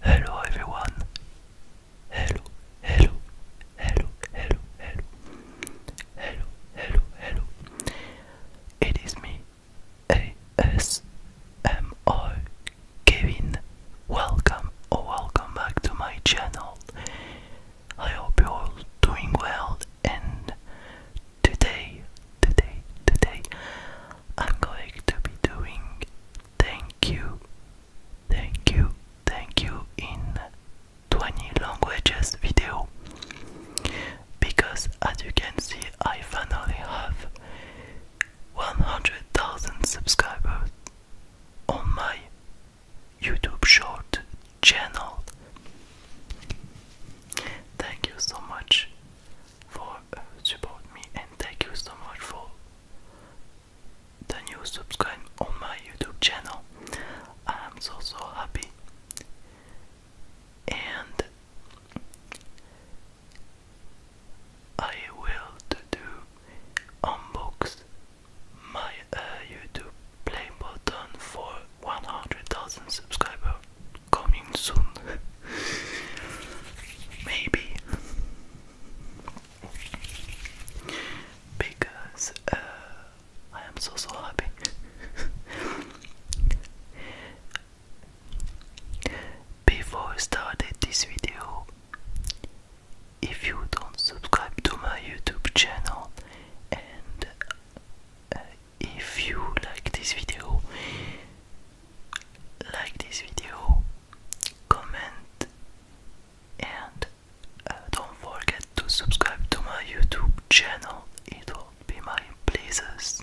Hello everyone. Hello, hello, hello, hello, hello. Hello, hello, hello. It is me, ASMR Kevin. Welcome or welcome back to my channel. I hope you're all doing well and today, today, today I'm going to be doing thank you, thank you, thank you in 20 languages video because as you can see I finally have 100,000 subscribers on my YouTube short channel. Thank you so much for support me and thank you so much for the new subscribe on my YouTube channel. I'm so so happy and I will do unbox my uh, YouTube play button for 100,000 subscribers coming soon. Maybe. because uh, I am so so happy. Before I started this video, if you don't subscribe to my YouTube channel and uh, if you like this video, like this video, comment and uh, don't forget to subscribe to my YouTube channel. It will be my pleasures.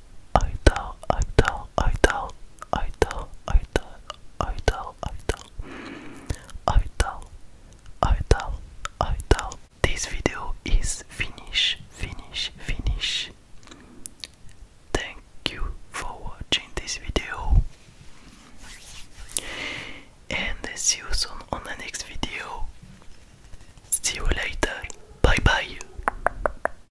idol, idol, idol, idol, idol, idol, idol, idol, idol, idol. This video is finish, finish, finish. Thank you for watching this video. And see you soon on the next video. See you later. Bye bye.